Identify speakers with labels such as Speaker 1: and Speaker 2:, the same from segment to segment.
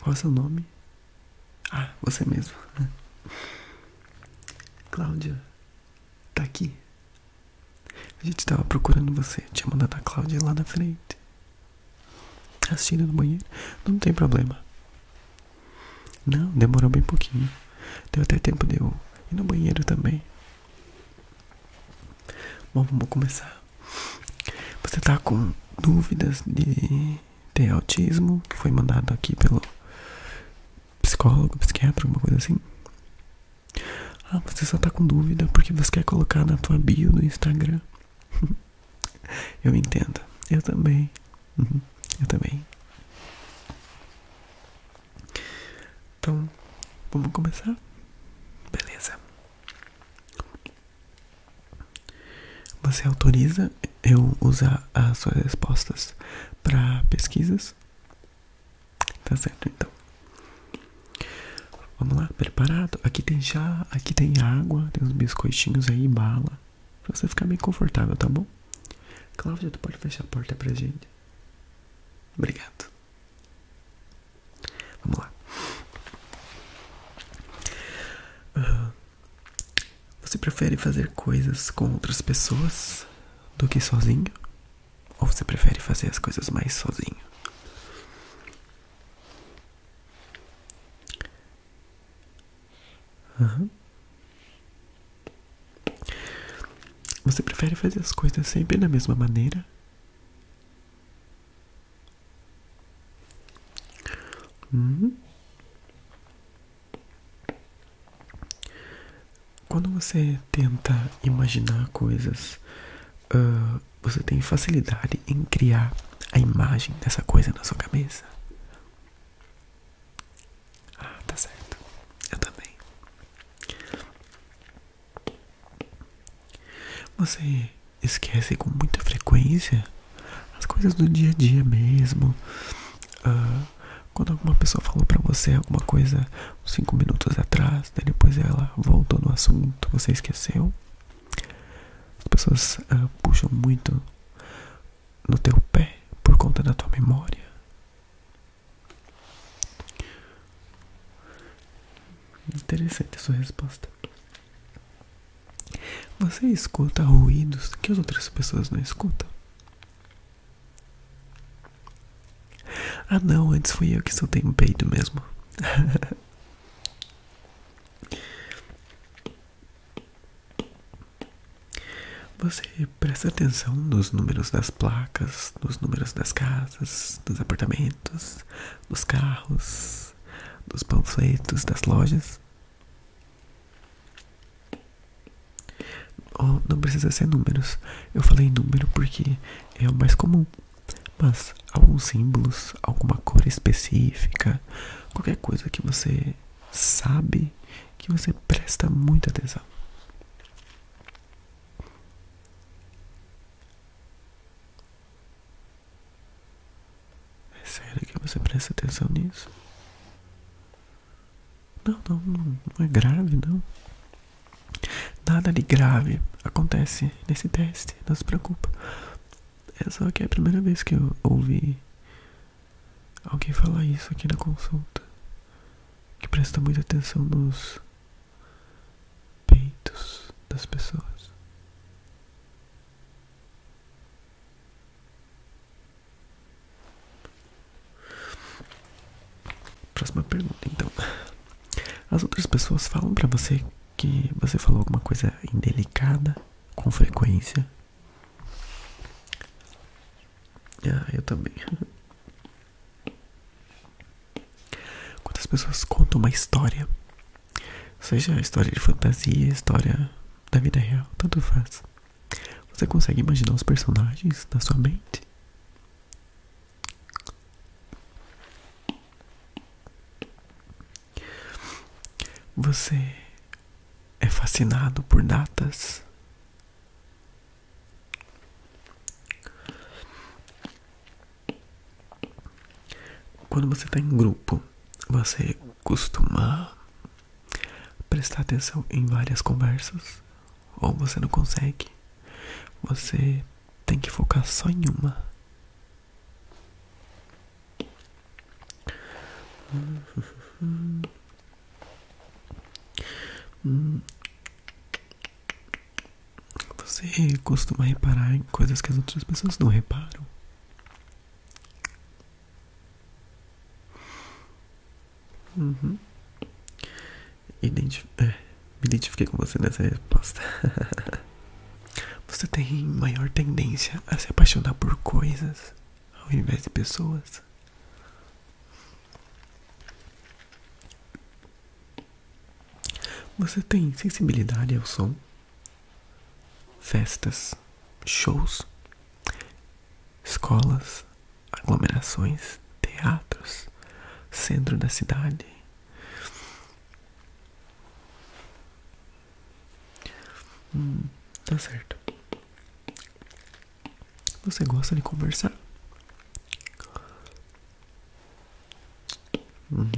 Speaker 1: Qual é o seu nome? Ah, você mesmo. Cláudia, tá aqui? A gente tava procurando você. Tinha mandado a Cláudia lá na frente. Assistindo no banheiro. Não tem problema. Não, demorou bem pouquinho. Deu até tempo de eu ir no banheiro também. Bom, vamos começar. Você tá com dúvidas de ter autismo? Foi mandado aqui pelo psicólogo, psiquiatra, alguma coisa assim? Ah, você só tá com dúvida porque você quer colocar na tua bio do Instagram. Eu entendo. Eu também. Uhum. Eu também. Então, vamos começar? Beleza. Você autoriza eu usar as suas respostas para pesquisas? Tá certo, então. Vamos lá, preparado? Aqui tem chá, aqui tem água, tem uns biscoitinhos aí, bala. Pra você ficar bem confortável, tá bom? Cláudia, tu pode fechar a porta pra gente? Obrigado. Vamos lá. Ah, você prefere fazer coisas com outras pessoas do que sozinho? Ou você prefere fazer as coisas mais sozinho? Uhum. Você prefere fazer as coisas sempre da mesma maneira? Uhum. Quando você tenta imaginar coisas, ah, você tem facilidade em criar a imagem dessa coisa na sua cabeça? Ah, tá certo. Eu também. Você esquece com muita frequência as coisas do dia a dia mesmo. Ah, quando alguma pessoa falou para você alguma coisa cinco minutos atrás, depois ela voltou no assunto, você esqueceu. As pessoas ah, puxam muito no teu pé por conta da tua memória. Interessante sua resposta. Você escuta ruídos que as outras pessoas não escutam? Ah não, antes fui eu que soltei um peito mesmo. Você presta atenção nos números das placas, nos números das casas, dos apartamentos, dos carros, dos panfletos, das lojas? Oh, não precisa ser números. Eu falei número porque é o mais comum. Mas alguns símbolos, alguma cor específica, qualquer coisa que você sabe que você presta muita atenção. É sério que você presta atenção nisso? Não, não, não é grave, não. Nada de grave acontece nesse teste, não se preocupa. É só que é a primeira vez que eu ouvi Alguém fala isso aqui na consulta. Que presta muita atenção nos peitos das pessoas. Próxima pergunta, então. As outras pessoas falam para você que você falou alguma coisa indelicada com frequência? Ah, eu também. quantas pessoas contam uma história, seja história de fantasia, história da vida real, tanto faz. Você consegue imaginar os personagens na sua mente? Você é fascinado por datas. Quando você está em grupo, você costuma prestar atenção em várias conversas ou você não consegue. Você tem que focar só em uma. Você costuma reparar em coisas que as outras pessoas não reparam? Uhum. É, identifiquei com você nessa resposta. você tem maior tendência a se apaixonar por coisas ao invés de pessoas. Você tem sensibilidade ao som, festas, shows, escolas, aglomerações, teatros, centro da cidade. Hum, tá certo. Você gosta de conversar? Uhum.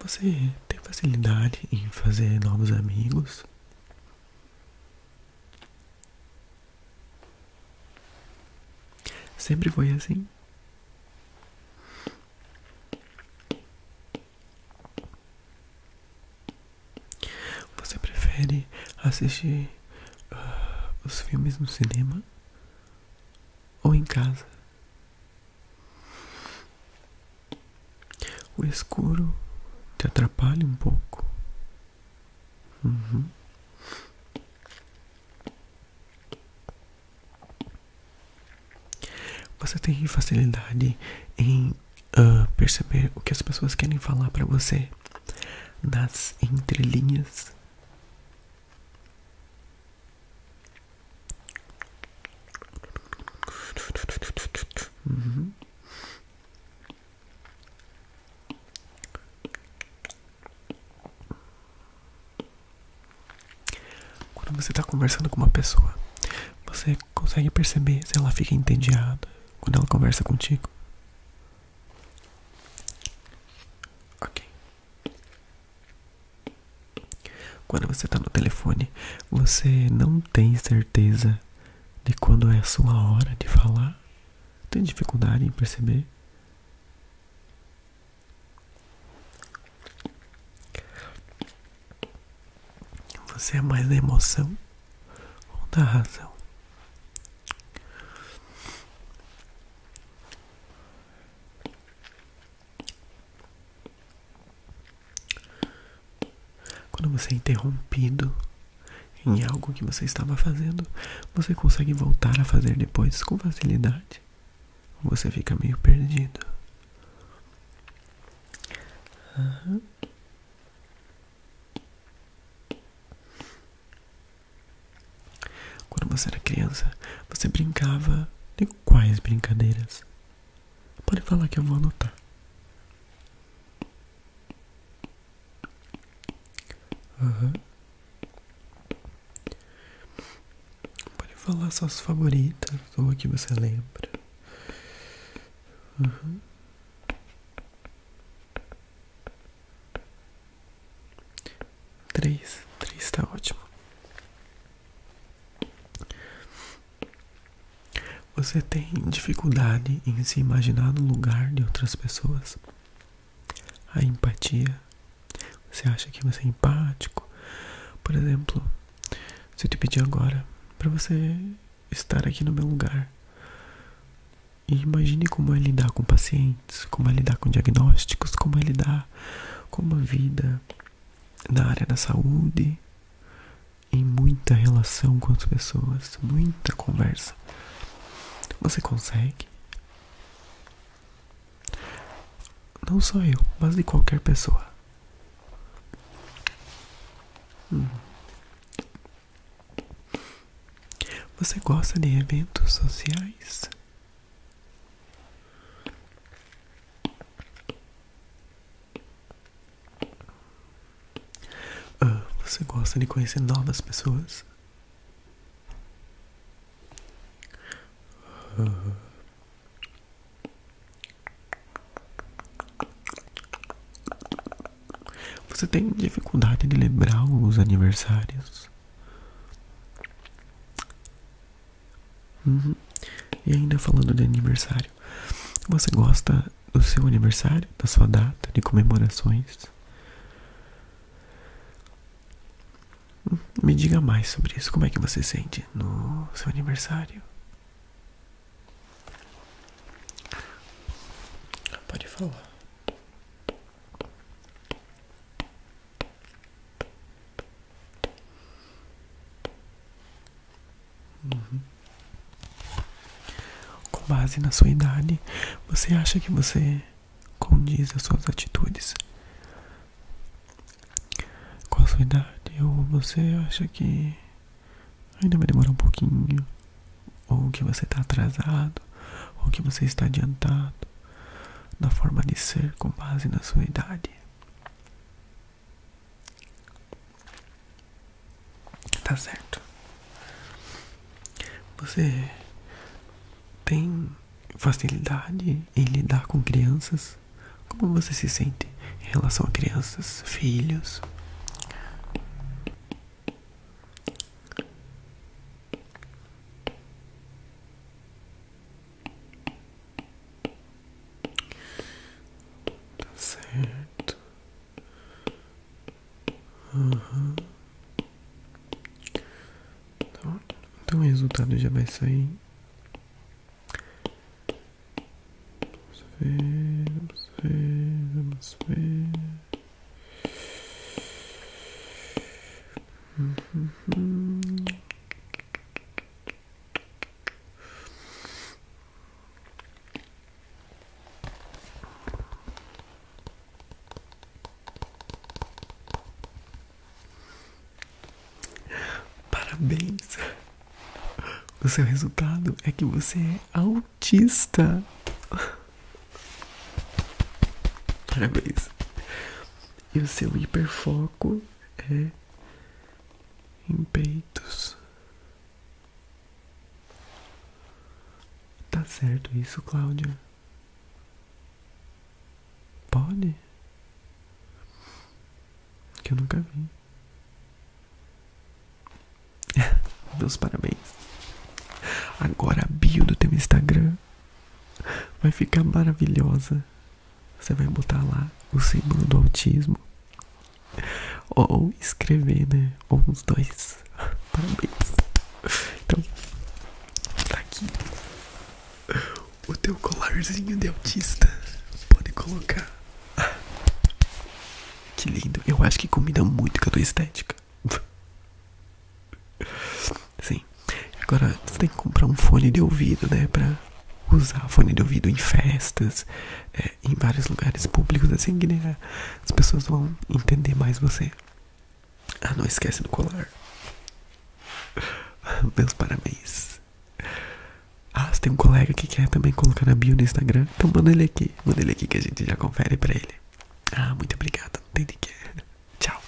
Speaker 1: Você tem facilidade em fazer novos amigos? Sempre foi assim? Você prefere assistir ah, os filmes no cinema ou em casa? O escuro te atrapalha um pouco. Uhum. Você tem facilidade em ah, perceber o que as pessoas querem falar para você das entrelinhas? Uhum. Quando você está conversando com uma pessoa, você consegue perceber se ela fica entediada quando ela conversa contigo? Ok. Quando você está no telefone, você não tem certeza de quando é a sua hora de falar? Tem dificuldade em perceber? Você é mais da emoção ou da razão? Quando você é interrompido em algo que você estava fazendo, você consegue voltar a fazer depois com facilidade. Você fica meio perdido. Quando você era criança, você brincava de quais brincadeiras? Pode falar que eu vou anotar. Uhum. Pode falar suas favoritas ou o que você lembra. Uhum. Três. Três está ótimo. Você tem dificuldade em se imaginar no lugar de outras pessoas? A empatia. Você acha que você é empático? Por exemplo, se eu te pedir agora para você estar aqui no meu lugar imagine como é lidar com pacientes, como é lidar com diagnósticos, como é lidar com uma vida na área da saúde, em muita relação com as pessoas, muita conversa. Você consegue? Não sou eu, mas de qualquer pessoa. Hum. Você gosta de eventos sociais? Ah, você gosta de conhecer novas pessoas? Ah. Você tem dificuldade de lembrar os aniversários? Uhum. E ainda falando de aniversário, você gosta do seu aniversário, da sua data de comemorações. Me diga mais sobre isso. Como é que você sente no seu aniversário? Pode falar. Uhum. Com base na sua idade, você acha que você condiz as suas atitudes com a sua idade? Ou você acha que ainda vai demorar um pouquinho? Ou que você está atrasado? Ou que você está adiantado na forma de ser com base na sua idade? Tá certo. Você tem facilidade em lidar com crianças? Como você se sente em relação a crianças, filhos? Tá certo. Então, então o resultado já vai sair. Vamos ver, vamos ver, vamos ver. Uhum. Parabéns! O seu resultado é que você é autista. Parabéns! E o seu hiperfoco é em peitos. Tá certo isso, Cláudia? Pode? Que eu nunca vi. Meus parabéns. Agora a bio do teu Instagram vai ficar maravilhosa. Você vai botar lá o símbolo do autismo. Ou escrever, né? Ou uns dois. Parabéns. Então, tá aqui o teu colarzinho de autista. Pode colocar. Que lindo. Eu acho que combina muito com a tua estética. Sim. Agora, você tem que comprar um fone de ouvido, né? Pra usar fone de ouvido em festas, é, em vários lugares públicos, assim que né, as pessoas vão entender mais você. Ah, não esquece do colar. Meus parabéns. Ah, você tem um colega que quer também colocar na bio no Instagram? Então manda ele aqui. Manda ele aqui que a gente já confere pra ele. Ah, muito obrigado. Não tem de que. Tchau.